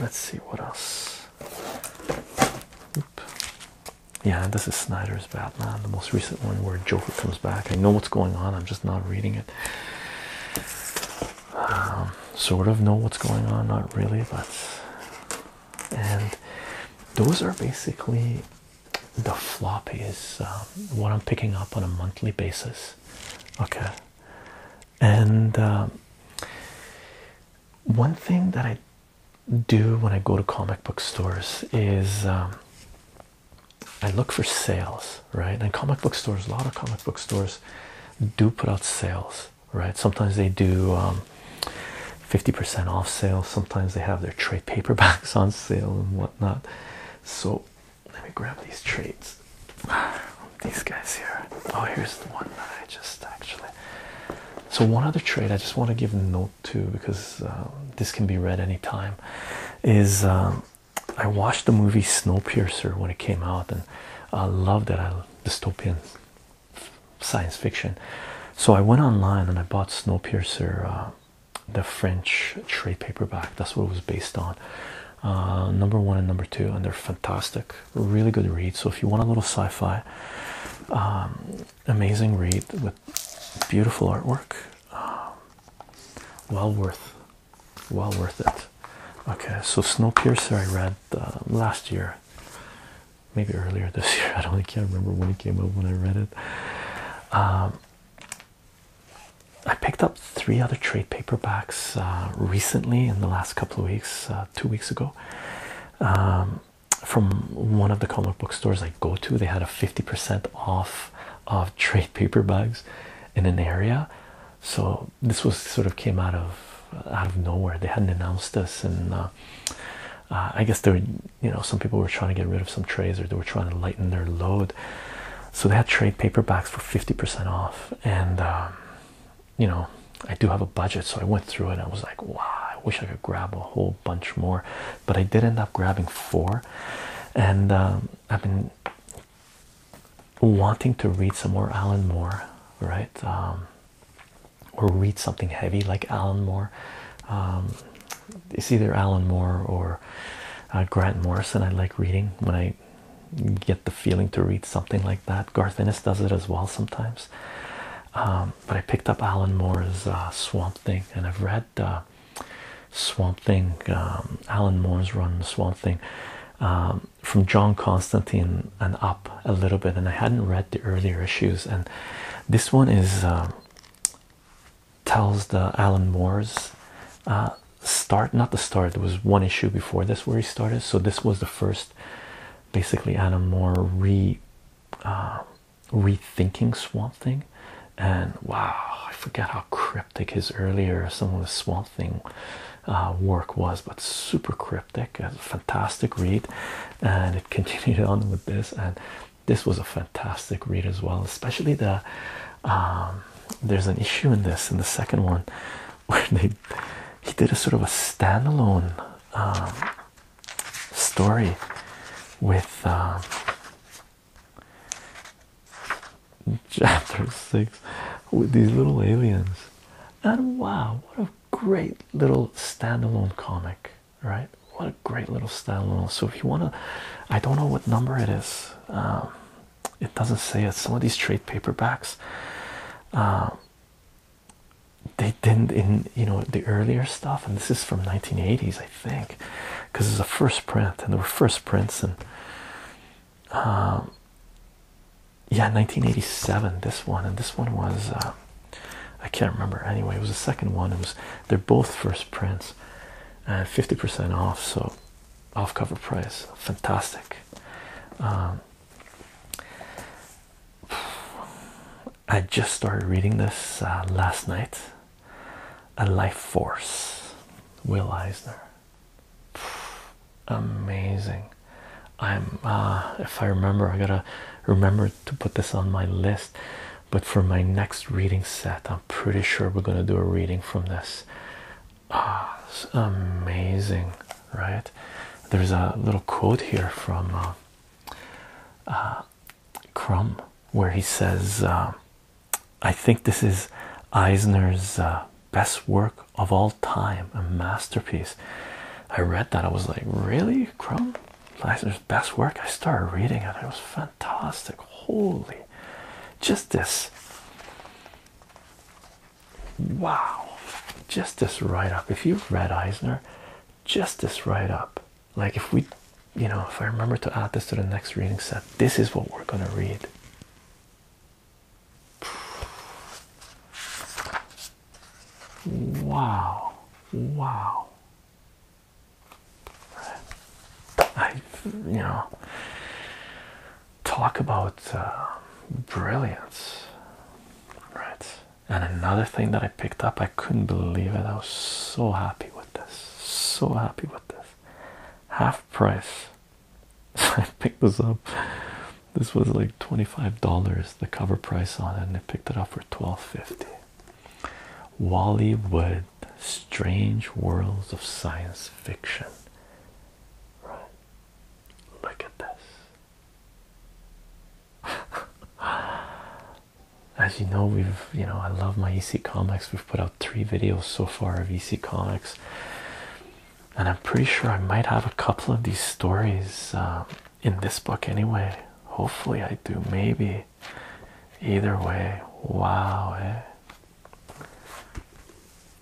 [SPEAKER 1] let's see what else. Yeah, this is Snyder's Batman, the most recent one where Joker comes back. I know what's going on, I'm just not reading it. Um, sort of know what's going on, not really, but and those are basically the floppies, uh, what I'm picking up on a monthly basis. Okay, and um, one thing that I do when I go to comic book stores is um, I look for sales, right? And comic book stores, a lot of comic book stores do put out sales, right? Sometimes they do. 50% um, off sales. Sometimes they have their trade paperbacks on sale and whatnot. So let me grab these trades. These guys here. Oh, here's the one that I just actually so one other trade I just want to give note to because um, this can be read anytime is um, I watched the movie Snowpiercer when it came out and I loved that dystopian science fiction. So I went online and I bought Snowpiercer, uh, the French trade paperback. That's what it was based on. Uh, number one and number two, and they're fantastic. Really good read. So if you want a little sci-fi, um, amazing read with beautiful artwork. Um, well worth, well worth it. Okay, so Snowpiercer I read uh, last year, maybe earlier this year. I don't I can't remember when it came out when I read it. Um, I picked up three other trade paperbacks uh, recently in the last couple of weeks, uh, two weeks ago. Um, from one of the comic book stores I go to. They had a 50% off of trade paper bags in an area. So this was sort of came out of out of nowhere. They hadn't announced this, and uh, uh, I guess there, were, you know, some people were trying to get rid of some trays or they were trying to lighten their load. So they had trade paperbacks for 50% off, and um, you know, I do have a budget, so I went through it. I was like, wow, I wish I could grab a whole bunch more, but I did end up grabbing four. And um, I've been wanting to read some more Alan Moore, right? Um, or read something heavy like Alan Moore. Um, it's either Alan Moore or uh, Grant Morrison. I like reading when I get the feeling to read something like that. Garth Ennis does it as well sometimes but I picked up Alan Moore's uh, Swamp Thing, and I've read uh, Swamp Thing. Um, Alan Moore's run Swamp Thing um, from John Constantine and up a little bit, and I hadn't read the earlier issues. And this one is uh, tells the Alan Moore's start, not the start. There was one issue before this where he started, so this was the first, basically Alan Moore re um, rethinking Swamp Thing, and wow, I forget how cryptic his earlier some of the Swamp Thing uh, work was, but super cryptic. A fantastic read, and it continued on with this, and this was a fantastic read as well, especially the. Um, there's an issue in this in the second one where they he did a sort of a standalone um, story with uh, chapter six with these little aliens, and wow, what a great little standalone comic, right? What a great little standalone. So, if you want to, I don't know what number it is, um, it doesn't say it. Some of these trade paperbacks. Um, they didn't in you know the earlier stuff, and this is from 1980s, I think, because it's a first print, and there were first prints, and um, yeah, 1987. This one and this one was uh, I can't remember. Anyway, it was the second one. It was they're both first prints, and 50% off, so off cover price, fantastic. Um, I just started reading this uh, last night. A Life Force, Will Eisner. Amazing. I'm, uh, if I remember, I gotta remember to put this on my list. But for my next reading set, I'm pretty sure we're gonna do a reading from this. Ah, oh, it's amazing, right? There's a little quote here from uh, uh, Crumb, where he says, uh, I think this is Eisner's uh, best work of all time, a masterpiece. I read that, I was like, Really, Crumb? Eisner's best work? I started reading it, it was fantastic. Holy, just this. Wow, just this right up. If you've read Eisner, just this right up. Like if we, you know, if I remember to add this to the next reading set, this is what we're going to read. Wow. Wow. I, you know, talk about uh, brilliance, right? And another thing that I picked up, I couldn't believe it. I was so happy with this. So happy with this. Half price. I picked this up. This was like $25, the cover price on it, and I picked it up for $12.50. Wally Wood, Strange Worlds of Science Fiction. Right. Look at this. As you know, we've you know I love my EC Comics. We've put out three videos so far of EC Comics, and I'm pretty sure I might have a couple of these stories uh, in this book anyway. Hopefully, I do. Maybe. Either way, wow! Eh?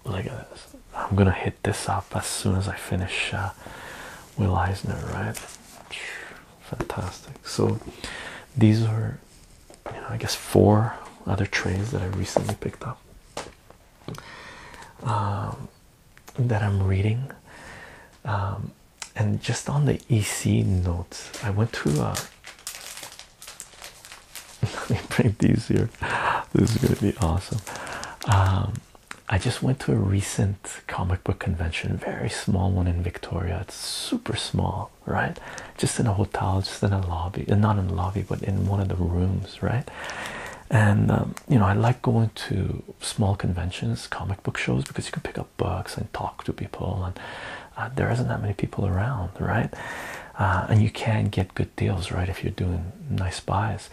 [SPEAKER 1] Look at this. I'm gonna hit this up as soon as I finish uh, Will Eisner, right? Fantastic. So these are, you know, I guess four other trains that I recently picked up um, that I'm reading. Um, and just on the EC notes, I went to. Uh, let me bring these here. This is gonna be awesome. Um, I just went to a recent comic book convention, very small one in Victoria. It's super small, right? Just in a hotel, just in a lobby, uh, not in the lobby, but in one of the rooms, right? And um, you know, I like going to small conventions, comic book shows, because you can pick up books and talk to people, and uh, there isn't that many people around, right? Uh, and you can get good deals, right, if you're doing nice buys.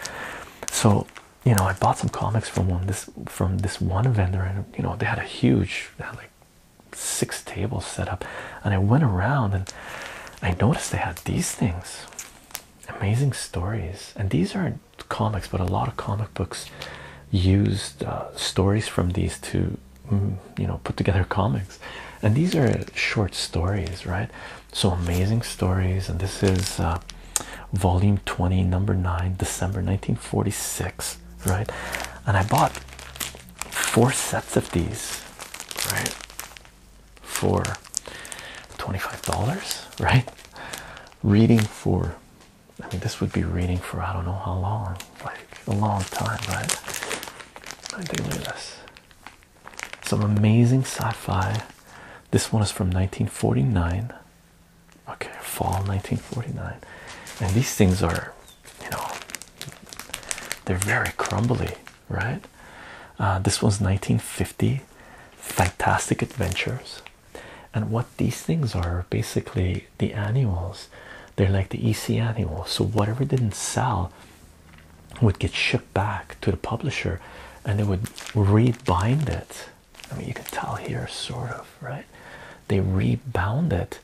[SPEAKER 1] So you know, I bought some comics from one this from this one vendor, and you know, they had a huge, like six tables set up, and I went around and I noticed they had these things, amazing stories, and these aren't comics, but a lot of comic books used uh, stories from these to mm, you know put together comics and these are short stories right so amazing stories and this is uh, volume 20 number 9 december 1946 right and i bought four sets of these right for $25 right reading for i mean this would be reading for i don't know how long like a long time right i think some amazing sci-fi this one is from 1949 Okay, fall 1949, and these things are, you know, they're very crumbly, right? Uh, this was 1950, Fantastic Adventures, and what these things are basically the annuals. They're like the EC annuals. So whatever didn't sell would get shipped back to the publisher, and they would rebind it I mean, you can tell here, sort of, right? They rebounded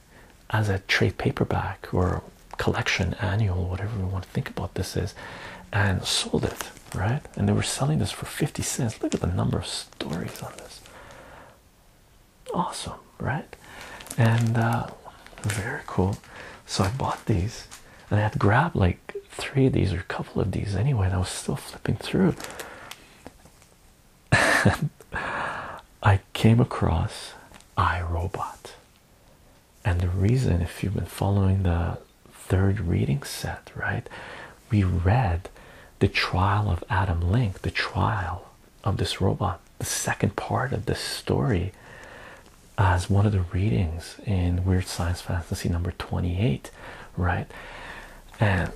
[SPEAKER 1] as a trade paperback or collection annual, whatever we want to think about this is, and sold it, right? And they were selling this for 50 cents. Look at the number of stories on this. Awesome, right? And uh, very cool. So I bought these and I had grabbed like three of these or a couple of these anyway, and I was still flipping through. I came across iRobot, and the reason, if you've been following the third reading set, right, we read the trial of Adam Link, the trial of this robot, the second part of this story, as one of the readings in Weird Science Fantasy number 28, right? and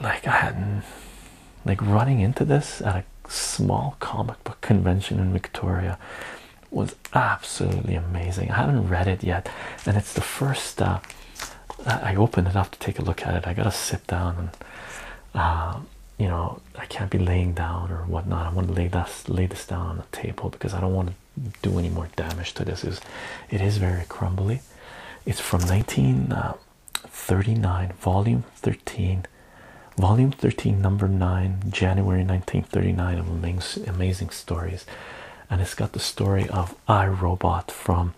[SPEAKER 1] like I hadn't like running into this at a small comic book convention in Victoria was absolutely amazing. I haven't read it yet, and it's the first uh, I opened it up to take a look at it. I gotta sit down and uh, you know I can't be laying down or whatnot. I want to lay this lay this down on the table because I don't want to do any more damage to this. Is it is very crumbly, it's from 1939, uh, volume 13, volume 13, number 9, January 1939 of amazing, amazing stories. And it's got the story of I Robot from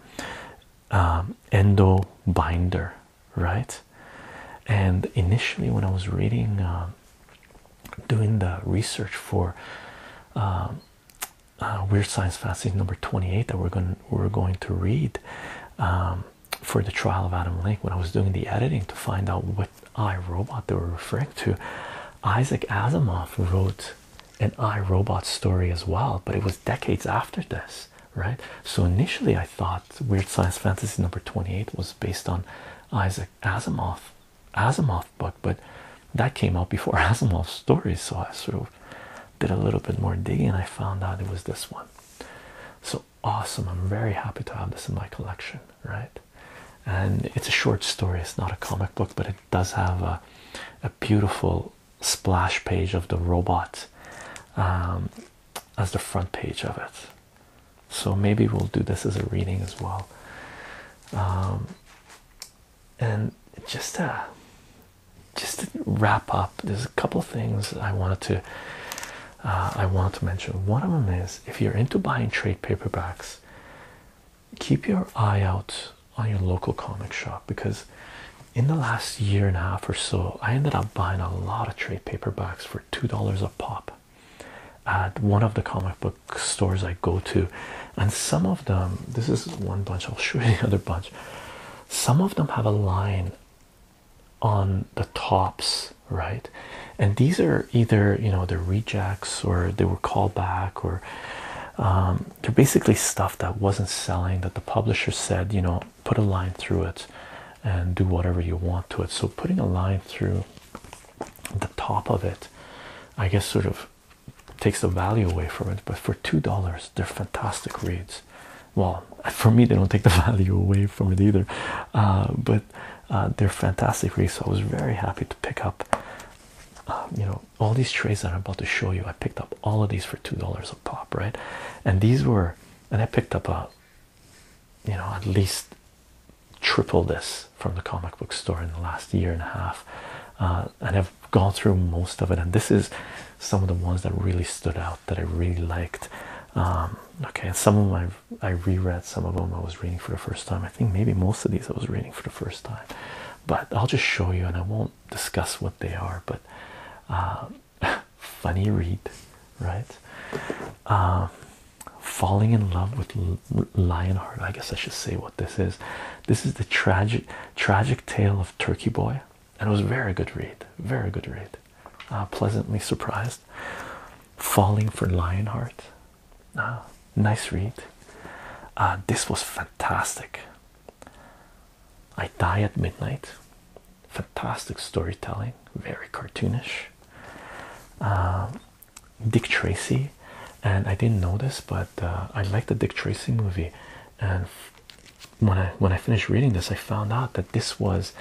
[SPEAKER 1] um, Endo Binder, right? And initially, when I was reading, uh, doing the research for um, uh, Weird Science Fantasy number 28 that we're going we're going to read um, for the trial of Adam Link when I was doing the editing to find out what I robot they were referring to. Isaac Asimov wrote an I Robot story as well, but it was decades after this, right? So initially, I thought Weird Science Fantasy number 28 was based on Isaac Asimov, Asimov book but that came out before Asimov's stories, so I sort of did a little bit more digging and I found out it was this one. So awesome! I'm very happy to have this in my collection, right? And it's a short story, it's not a comic book, but it does have a, beautiful splash page of the robot um, as the front page of it. So maybe we'll do this as a reading as well. Um, and just uh just to wrap up there's a couple things i wanted to uh, i want to mention one of them is if you're into buying trade paperbacks keep your eye out on your local comic shop because in the last year and a half or so i ended up buying a lot of trade paperbacks for two dollars a pop at one of the comic book stores i go to and some of them this is one bunch i'll show you the other bunch some of them have a line on the tops right and these are either you know the rejects or they were called back or um, they're basically stuff that wasn't selling that the publisher said you know put a line through it and do whatever you want to it so putting a line through the top of it i guess sort of takes the value away from it. But for two dollars, they're fantastic reads. Well, for me, they don't take the value away from it either. Uh, but uh, they're fantastic reads. So I was very happy to pick up, uh, you know, all these trades that I'm about to show you. I picked up all of these for two dollars a pop, right? And these were, and I picked up a, you know, at least triple this from the comic book store in the last year and a half. and have gone through most of it, and this is some of the ones that really stood out that I really liked. Um, okay, some of them I, I reread, some of them I was reading for the first time. I think maybe most of these I was reading for the first time, but I'll just show you and I won't discuss what they are. But uh, funny read, right? Um, falling in love with Lionheart. I guess I should say what this is. This is the tragic, tragic tale of Turkey Boy, and it was very good read. Very good read. Uh, pleasantly surprised. Falling for Lionheart. Uh, nice read. Uh, this was fantastic. I Die at Midnight. Fantastic storytelling. Very cartoonish. Uh, Dick Tracy, and I didn't know this, but uh, I like the Dick Tracy movie, and when I when I finished reading this, I found out that this was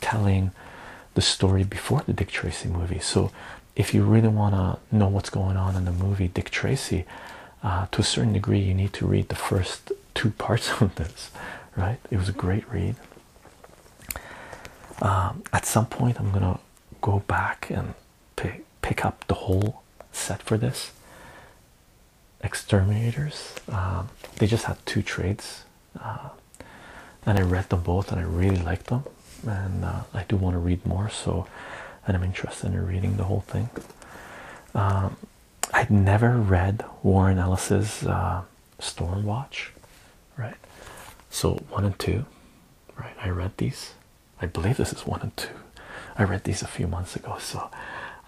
[SPEAKER 1] telling the story before the Dick Tracy movie. So, if you really want to know what's going on in the movie Dick Tracy, uh, to a certain degree, you need to read the first two parts of this. Right? It was a great read. Um, at some point, I'm gonna go back and pick pick up the whole set for this exterminators um, they just had two trades uh, and I read them both and I really liked them and uh, I do want to read more so and I'm interested in reading the whole thing um, I'd never read Warren Ellis's uh, Storm Watch, right so one and two right I read these I believe this is one and two. I read these a few months ago, so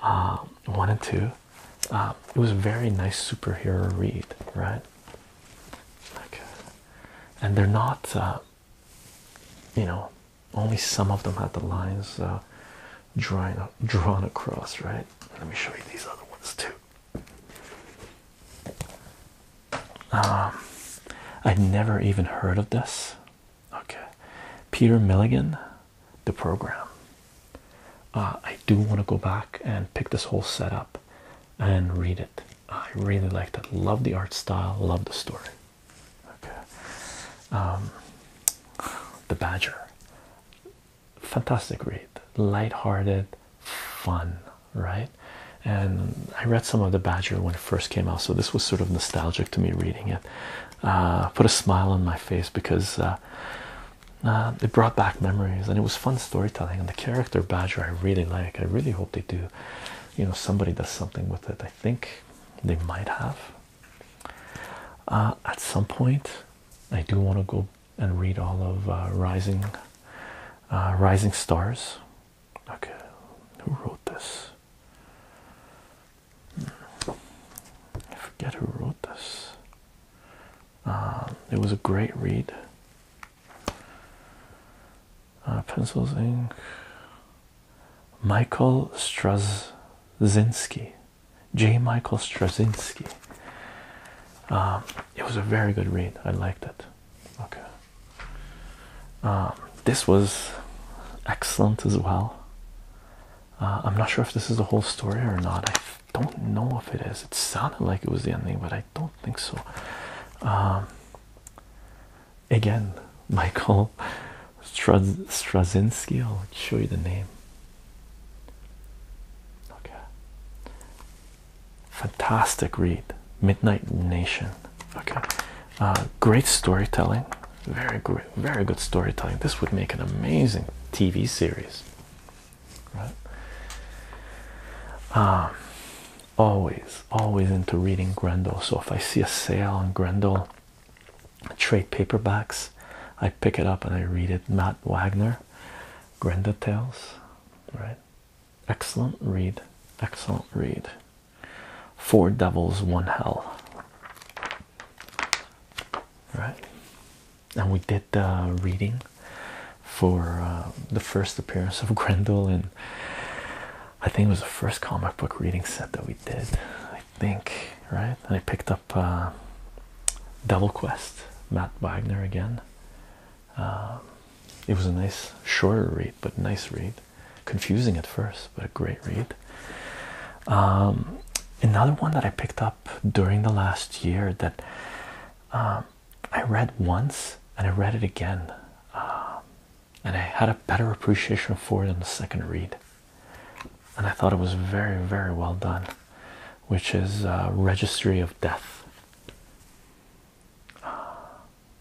[SPEAKER 1] um, one and two. Um, it was a very nice superhero read, right? Okay, and they're not, uh, you know, only some of them had the lines uh, drawn drawn across, right? Let me show you these other ones too. Um, I'd never even heard of this Okay, Peter Milligan, the program. Uh, I do want to go back and pick this whole setup and read it. I really like that. Love the art style. Love the story. Okay, um, the Badger. Fantastic read. Lighthearted, fun, right? And I read some of the Badger when it first came out, so this was sort of nostalgic to me reading it. Uh, put a smile on my face because uh, uh, it brought back memories and it was fun storytelling and the character badger I really like I really hope they do you know somebody does something with it I think they might have at some point I do want to go and read all of rising rising stars okay who wrote this I forget who wrote this. Um, it was a great read. Uh, pencils, ink. Michael Straczynski, J. Michael Straczynski. Um, it was a very good read. I liked it. Okay. Um, this was excellent as well. Uh, I'm not sure if this is the whole story or not. I don't know if it is. It sounded like it was the ending, but I don't think so. Um, again, Michael Straz Straczynski. I'll show you the name. Okay. Fantastic read. Midnight Nation. Okay. Uh, great storytelling, very very good storytelling. This would make an amazing TV series, right? Um, always, always into reading Grendel. So if I see a sale on Grendel trade paperbacks, I pick it up and I read it. Matt Wagner, Grendel Tales, right? Excellent read, excellent read. Four devils, one hell. Right, and we did the reading for uh, the first appearance of Grendel, and I think it was the first comic book reading set that we did. I think, right? And I picked up uh, Devil Quest, Matt Wagner again. Um, it was a nice shorter read, but nice read confusing at first, but a great read. Um, another one that I picked up during the last year that um, I read once and I read it again, um, and I had a better appreciation for it on the second read, and I thought it was very, very well done, which is uh, Registry of Death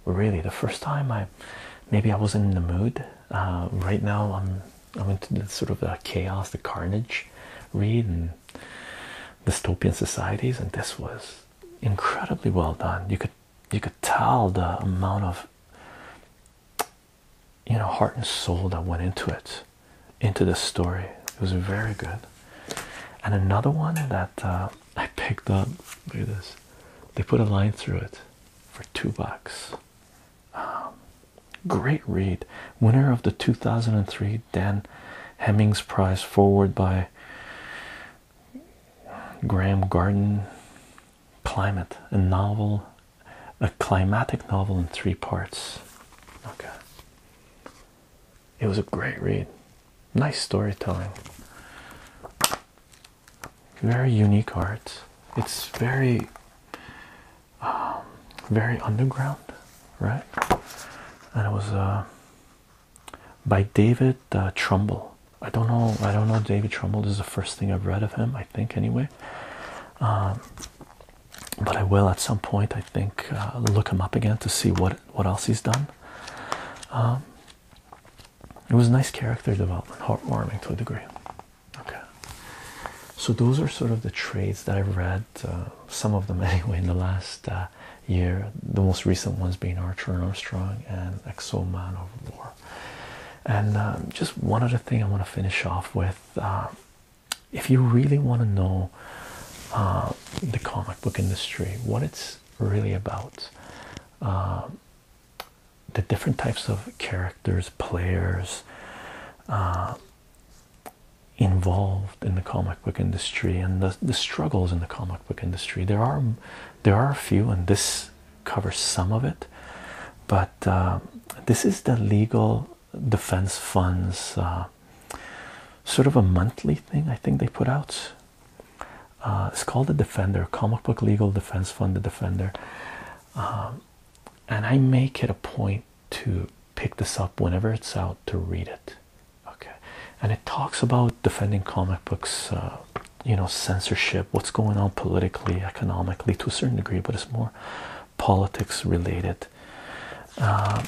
[SPEAKER 1] really the first time i maybe i wasn't in the mood uh, right now i'm i went to the sort of the chaos the carnage read and dystopian societies and this was incredibly well done you could you could tell the amount of you know heart and soul that went into it into this story it was very good and another one that uh, i picked up look at this they put a line through it for two bucks. Um, great read. Winner of the 2003 Dan Hemmings Prize, forward by Graham Garden. Climate, a novel, a climatic novel in three parts. Okay. It was a great read. Nice storytelling. Very unique art. It's very, um, very underground, right? And it was uh, by David uh, Trumbull. I don't know. I don't know David Trumbull. is the first thing I've read of him. I think anyway. Um, but I will at some point. I think uh, look him up again to see what what else he's done. Um, it was nice character development, heartwarming to a degree. Okay, so those are sort of the trades that I've read, uh, some of them anyway, in the last uh, year. The most recent ones being Archer and Armstrong and Exo Man of War. And uh, just one other thing I want to finish off with. if you really want to know the comic book industry, what it's really about, the different types of characters, players uh, involved in the comic book industry, and the, the struggles in the comic book industry. There are there are a few, and this covers some of it. But uh, this is the legal defense funds, uh, sort of a monthly thing. I think they put out. Uh, it's called the Defender, Comic Book Legal Defense Fund, the Defender. Um, and I make it a point to pick this up whenever it's out to read it. Okay. And it talks about defending comic books, uh, you know, censorship, what's going on politically, economically to a certain degree, but it's more politics related. Um,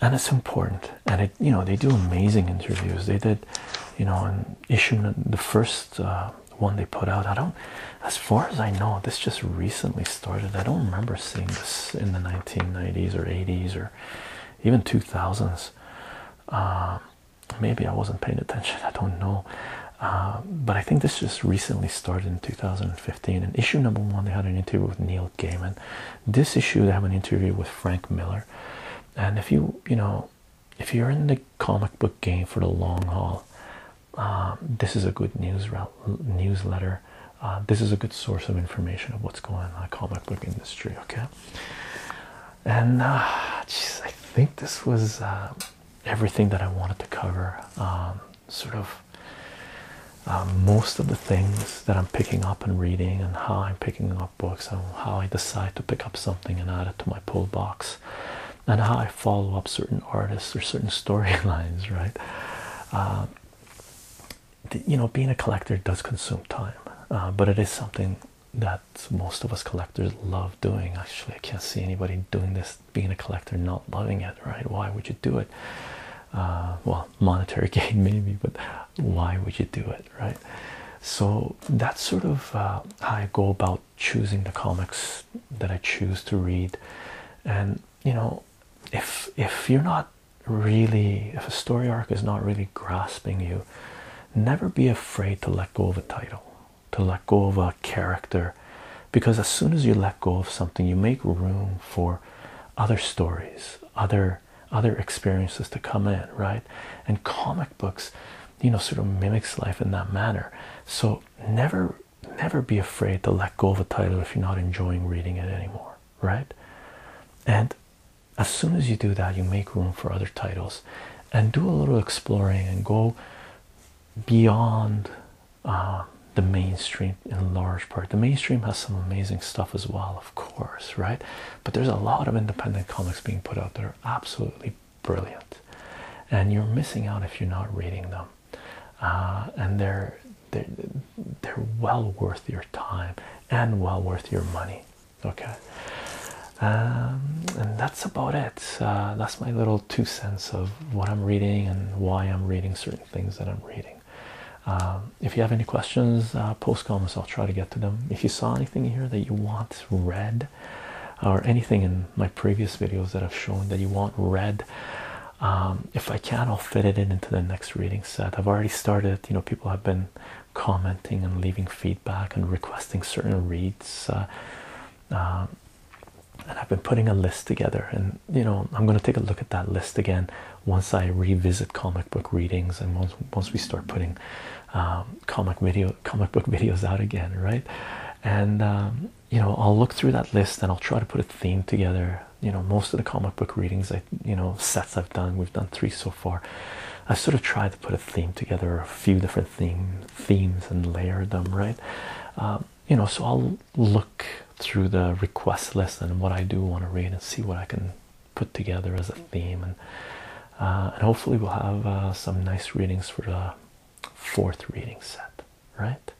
[SPEAKER 1] and it's important. And it, you know, they do amazing interviews. They did, you know, an issue, the first uh, one they put out. I don't, as far as I know, this just recently started. I don't remember seeing this in the 1990s or 80s or even 2000s. Um, maybe I wasn't paying attention, I don't know. Uh, but I think this just recently started in 2015. And issue number one, they had an interview with Neil Gaiman. This issue, they have an interview with Frank Miller. And if you, you know, if you're in the comic book game for the long haul, um, this is a good news newsletter. Uh, this is a good source of information of what's going on in the comic book industry. Okay, and uh, I think this was uh, everything that I wanted to cover. Um, sort of most of the things that I'm picking up and reading, and how I'm picking up books, and how I decide to pick up something and add it to my pull box and how I follow up certain artists or certain storylines, right? Uh, you know, being a collector does consume time, uh, but it is something that most of us collectors love doing. Actually, I can't see anybody doing this, being a collector, not loving it, right? Why would you do it? Uh, well, monetary gain, maybe, but why would you do it, right? So that's sort of how I go about choosing the comics that I choose to read. And you know, if if you're not really if a story arc is not really grasping you, never be afraid to let go of a title, to let go of a character, because as soon as you let go of something, you make room for other stories, other other experiences to come in, right? And comic books you know sort of mimics life in that manner so never never be afraid to let go of a title if you're not enjoying reading it anymore right and as soon as you do that you make room for other titles and do a little exploring and go beyond uh, the mainstream in large part the mainstream has some amazing stuff as well of course right but there's a lot of independent comics being put out there, absolutely brilliant and you're missing out if you're not reading them uh, and they're, they're well worth your time and well worth your money okay um, and that's about it uh, that's my little two cents of what i'm reading and why i'm reading certain things that i'm reading um, if you have any questions uh, post comments i'll try to get to them if you saw anything here that you want read or anything in my previous videos that I've shown that you want read, um, if I can, I'll fit it in into the next reading set. I've already started, you know, people have been commenting and leaving feedback and requesting certain reads. Uh, um, and I've been putting a list together, and you know, I'm going to take a look at that list again once I revisit comic book readings and once we start putting um, comic video comic book videos out again, right? And um, you know, I'll look through that list and I'll try to put a theme together. You know, most of the comic book readings, I you know sets I've done, we've done three so far. i sort of try to put a theme together, a few different theme themes, and layer them, right? Um, you know, so I'll look through the request list and what I do want to read and see what I can put together as a theme and uh, and hopefully we'll have uh, some nice readings for the uh, fourth reading set, right?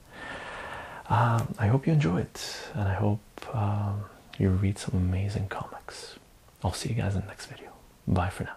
[SPEAKER 1] Um, I hope you enjoy it, and I hope um, you read some amazing comics. I'll see you guys in the next video. Bye for now.